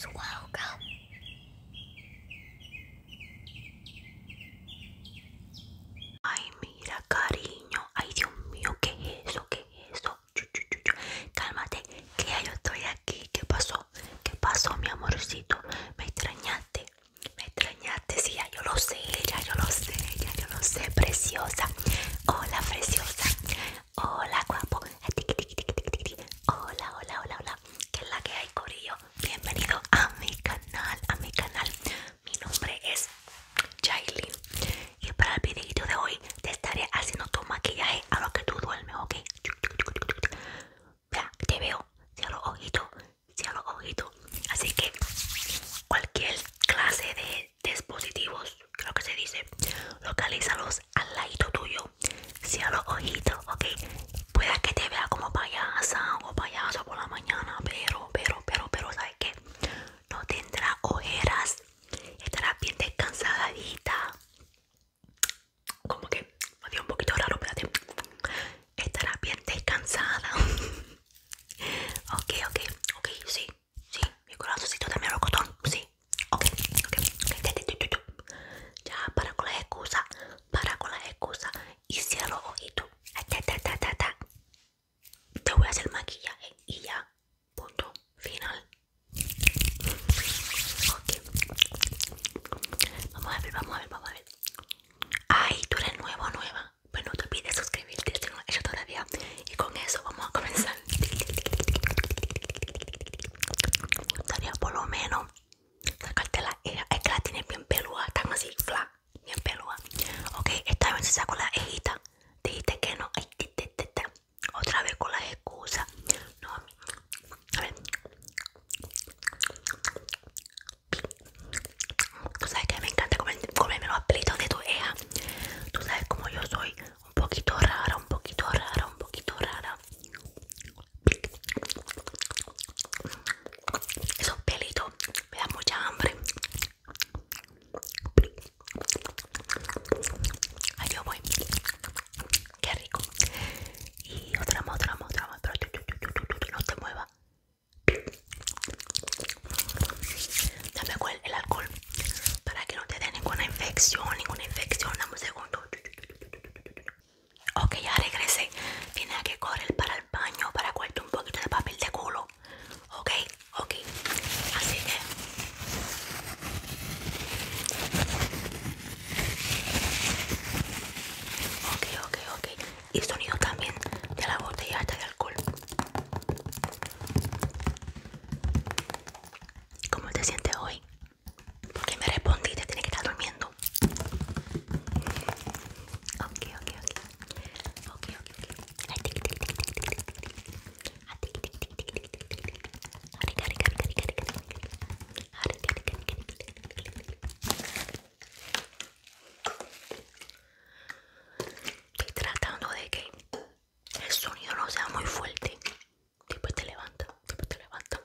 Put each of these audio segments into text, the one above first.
su welcome. Ay, mira, cariño. Ay, Dios mío, ¿qué es eso? ¿Qué es eso? Cálmate, que ya yo estoy aquí. ¿Qué pasó? ¿Qué pasó, mi amorcito? Me extrañaste. Me extrañaste, sí, ya yo lo sé, ya yo lo sé, ya yo lo sé, preciosa. Hola, preciosa. Hola guapo. Hola, hola, hola, hola. ¿Qué es la que hay, Corillo? Bienvenido a mi canal, a mi canal. Mi nombre es Jailin. Y para el videito de hoy te estaré haciendo tu maquillaje a lo que tú duermes, ¿ok? te veo. Cierra los ojitos, ojito. Así que cualquier clase de dispositivos, creo que se dice, localízalos al lado tuyo a los ojitos ok puede que te vea como payasa o payasa por la mañana pero pero pero pero sabes que no tendrá ojeras estará bien descansadita como que me dio un poquito raro espérate estará bien descansada ok ok ok sí sí mi corazoncito también lo cotón sí ok, ok, ya para con las excusa, para con la excusa, y cierra los ojitos, te voy a hacer maquillaje y ya, punto final. Okay. Vamos a ver, vamos a ver, vamos a ver. Ay, tú eres nuevo, nueva. Pues no te olvides suscribirte si no lo hecho todavía. Y con eso vamos a comenzar. Gustaría por lo menos sacarte la eja. Es que la tienes bien peluda, tan así, fla bien peluda. Ok, esta vez se sacó la ejita. Dijiste que no. Otra vez con la excusas. No, a ver. Tú sabes que me encanta comer, comerme los pelitos de tu eja. Tú sabes como yo soy un poquito rara, un poquito rara, un poquito rara. Esos pelitos me dan mucha hambre. Ahí yo voy. Qué rico. Y otra más, otra más, otra más. Pero no te muevas. Dame cuál el alcohol para que no te dé ninguna infección, ninguna infección. Dame un segundo. Ok, ya regresé. Tienes que correr para el baño para cuarto un poquito de papel de culo. Ok, ok. Así que. Ok, ok, ok. Y sonido también de la botella de alcohol. ¿Cómo te sientes hoy? Porque me respondiste, tiene que estar durmiendo. Estoy tratando de que el sonido no sea muy fuerte después te levanta, después te levanta.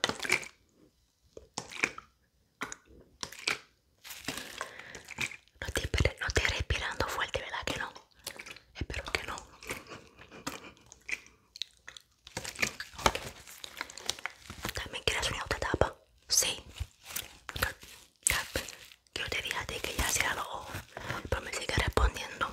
No estoy respirando fuerte, ¿verdad que no? Espero que no. ¿También quieres una otra tapa? Sí. Yo te dije que ya sea los ojos, pero me sigue respondiendo.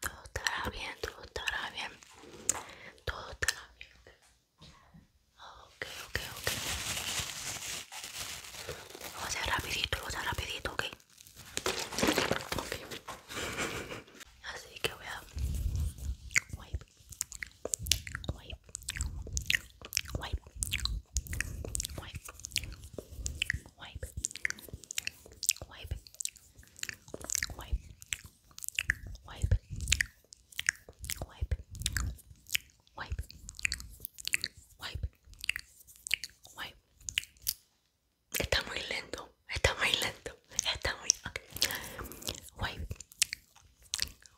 todo estará bien, todo estará bien, todo estará bien. Ok, ok, ok. Vamos a ser rapidito, vamos a rapidito, ok. Ok. Así que voy a wipe, wipe, wipe, wipe, wipe, wipe, wipe, wipe, wipe, wipe, wipe, wipe. Está muy lento, está muy lento, está muy. Okay. Wipe,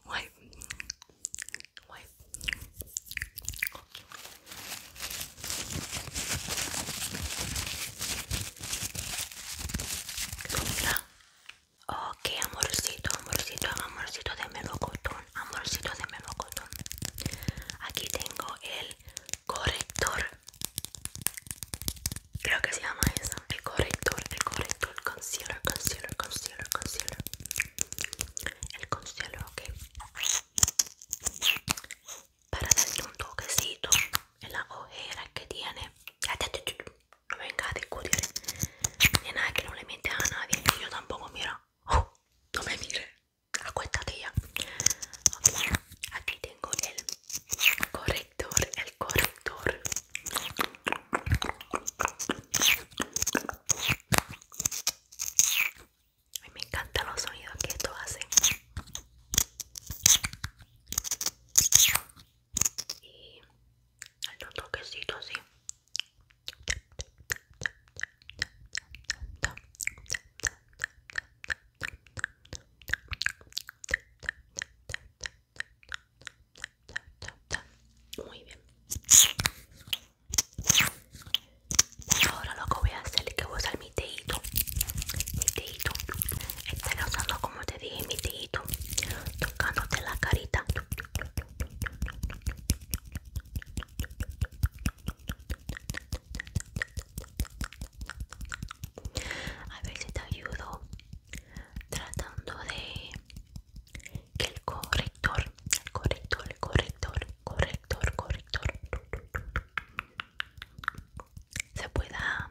wipe, wipe. o Ok, amorcito, amorcito, amorcito de melocotón, amorcito de melocotón. Aquí tengo el corrector. Creo que se llama eso. El corrector, el corrector, concealer, concealer, concealer, concealer. El concealer, ok. Para darle un toquecito en la ojeras que tiene. No venga a discutir. Ni nada que no le miente a nadie. yo tampoco, mira. Uh, no me mires. Acuéstate ya. Aquí tengo el corrector. El corrector. me encantan los sonidos que esto hace y que quesito así muy bien ahora lo que voy a hacer es que voy a usar mi teito mi está como te dije mi tito tocándote la carita a ver si te ayudo tratando de que el corrector el corrector el corrector corrector corrector se pueda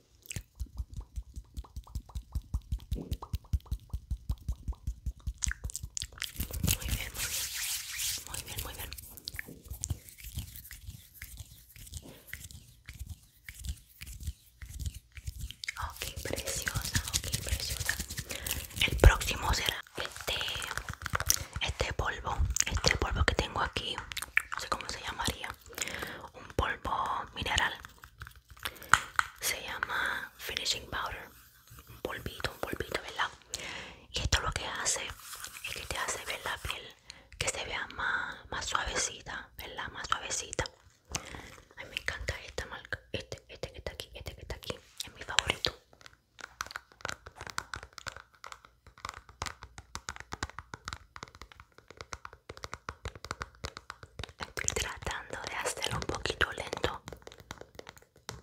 Muy bien, muy bien. Muy bien, muy bien. Ok, preciosa, ok, preciosa. El próximo será este, este polvo, este polvo que tengo aquí, no sé cómo se llamaría, un polvo mineral se llama finishing powder un polvito un polvito verdad y esto lo que hace es que te hace ver la piel que se vea más, más suavecita verdad más suavecita a mí me encanta esta marca este este que está aquí este que está aquí es mi favorito Estoy tratando de hacerlo un poquito lento,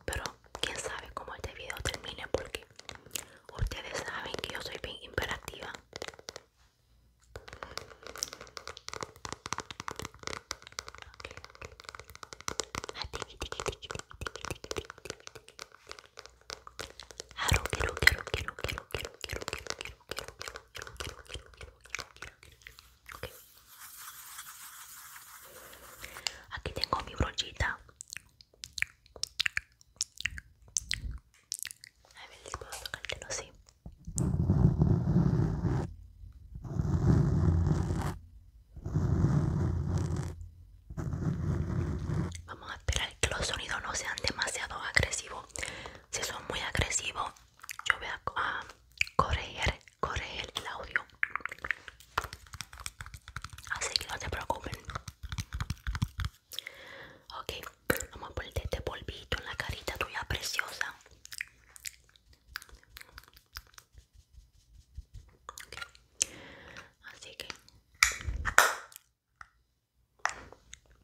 pero quién sabe cómo este video termine porque ustedes saben que yo soy bien imperativa. Aquí tengo mi brochita. Vamos a esperar que los sonidos no sean demasiado agresivos. Si son muy agresivos, yo voy a corregir, el audio así que no se preocupen ok vamos a ponerte este polvito en la carita tuya preciosa así que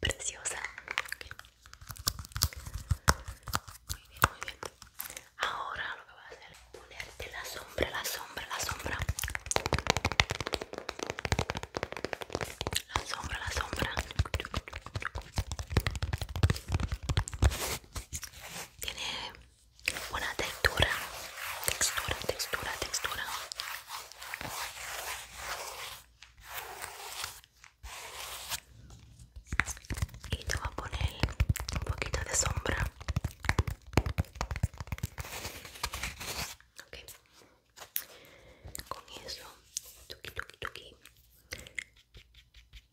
Preciosa. Muy muy bien. Ahora lo que voy a hacer es ponerte la sombra, la sombra, la sombra. La sombra, la sombra. Tiene una textura, textura, textura, textura y te voy a poner un poquito de sombra ok con eso tuki tuki tuki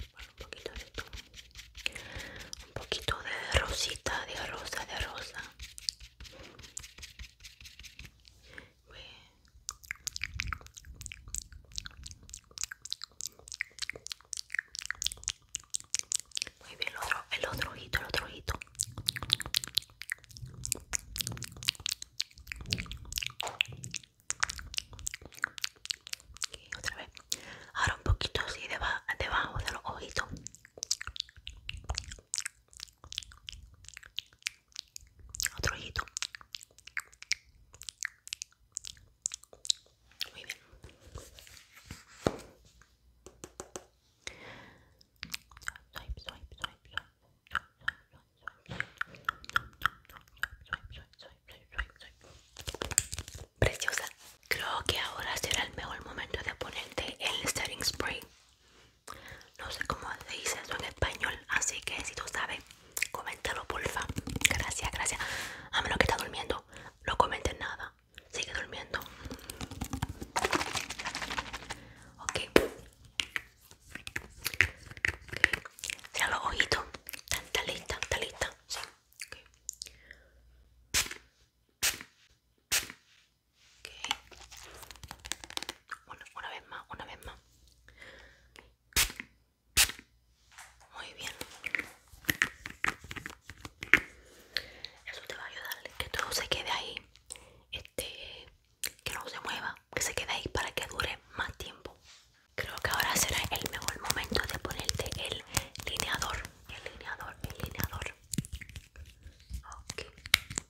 un poquito de un poquito de rosita de rosa de rosa muy bien, el otro, el otro ojito, el otro ojito. otra vez. Ahora un poquito así debajo de los ojitos. Otro ojito. Preciosa. Creo que ahora será el mejor momento de ponerte el setting spray. No sé cómo se dice eso en español, así que si tú sabes, coméntalo porfa. Gracias, gracias. A menos que está durmiendo, no comentes nada. Sigue durmiendo. Ok. ok, los ojitos. Está lista, está lista. Sí. una vez más, una vez más muy bien eso te va a ayudar que todo se quede ahí este que no se mueva que se quede ahí para que dure más tiempo creo que ahora será el mejor momento de ponerte el lineador el lineador el lineador ok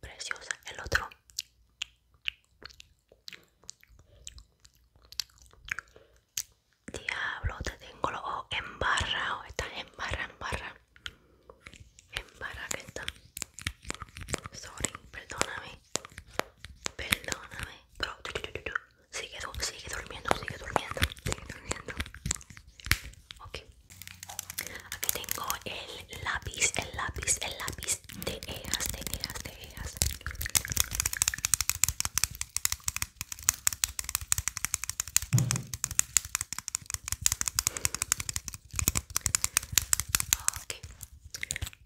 Preciosa, el otro. Diablo, te tengo los ojos o Estás en barra, en barra. En barra que está. Sorry, perdóname. Perdóname. Pero sigue durmiendo, sigue durmiendo, sigue durmiendo. Ok. Aquí tengo el lápiz, el lápiz, el lápiz de eas, de eas, de eas.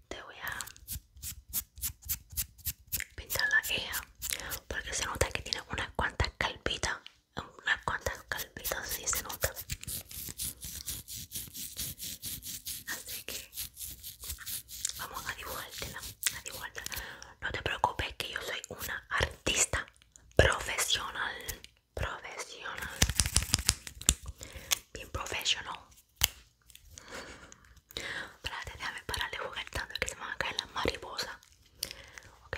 Te voy a pintar la eja porque se nota que tiene unas cuantas calpitas unas cuantas calpitas si se nota así que vamos a dibujártela a no te preocupes que yo soy una artista profesional profesional bien profesional Espérate, déjame parar de jugar tanto que se me van a caer las mariposas Ok,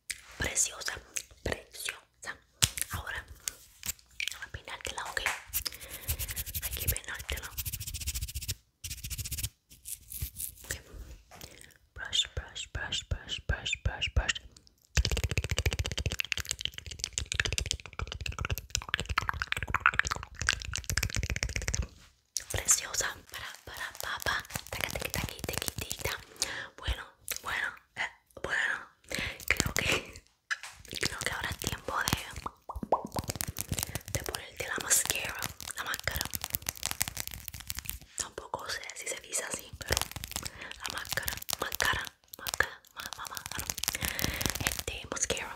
preciosa, preciosa. Ahora voy a peinártela, ok. Hay que peinártela. Okay. Brush, brush, brush, brush, brush, brush, brush preciosa para papá bueno bueno eh, bueno creo que creo que ahora es tiempo de de ponerte la mascara la máscara tampoco sé si se dice así pero la máscara máscara máscara ah, este máscara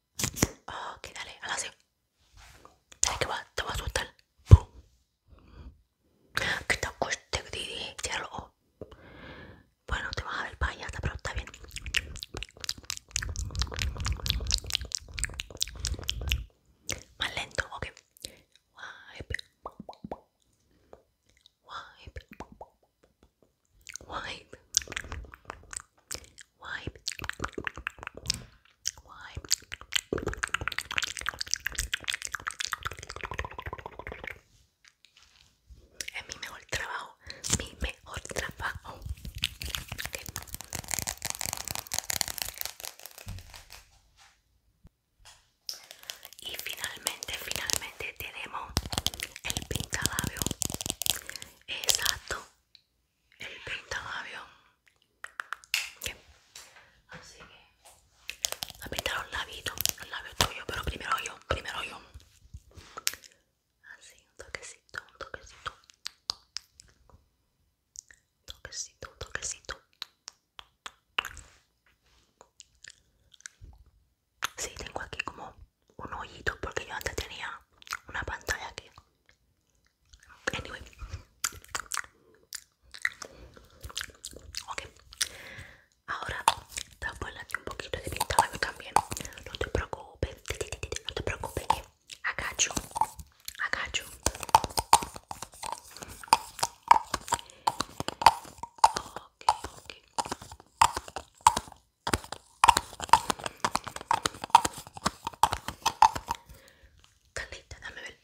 Ok, dale, hazlo así. Dale que va, te va a asustar. ¡Pum! Que te acueste, Didi. Cierra los ojos. Bueno, te vas a ver para allá, pero está bien. Más lento, ok. Wipe. Wipe. Wipe why Es mi mejor trabajo, mi mejor trabajo. Y finalmente, finalmente tenemos el pintalabio. Exacto el pinta bien Así que la a pintar los el labio labios pero primero yo, primero yo. Así, un toquecito, un toquecito. Un toquecito, un toquecito. Sí, tengo aquí como un hoyito porque yo antes tenía una pantalla aquí Anyway. Ok. Ahora dar un poquito de pintalabio también. No te preocupes. No te preocupes que agacho. Agacho. Ok, Candita, dame ver.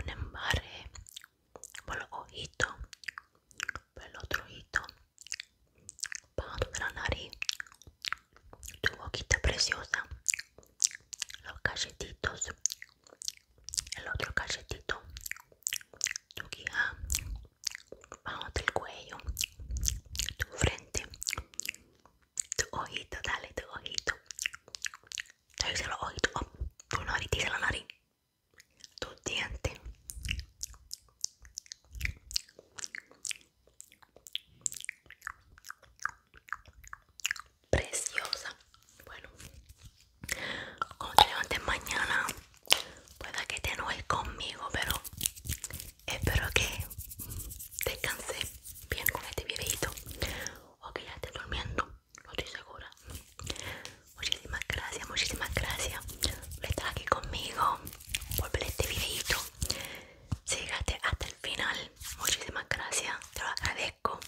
Un embarre por los ojitos, por el otro ojito, para tu la nariz, tu boquita preciosa, los galletitos, el otro cachetito tu guía bajo del cuello tu frente tu ojito dale tu ojito te hice los ojitos oh, tu nariz la nariz tu diente preciosa bueno cuando te levantes mañana, pueda que te enojes conmigo, pero espero que descanses bien con este videito o que ya estés durmiendo, no estoy segura. Muchísimas gracias, muchísimas gracias por estar aquí conmigo, por ver este videito. Sígate hasta el final, muchísimas gracias, te lo agradezco.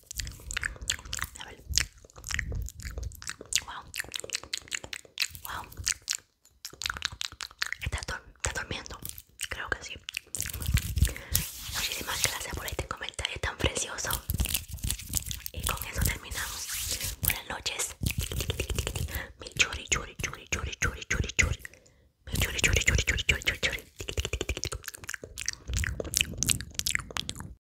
A Wow. Wow. está durmiendo? Creo que sí. Muchísimas gracias por este comentario tan precioso. Y con eso terminamos. Buenas noches.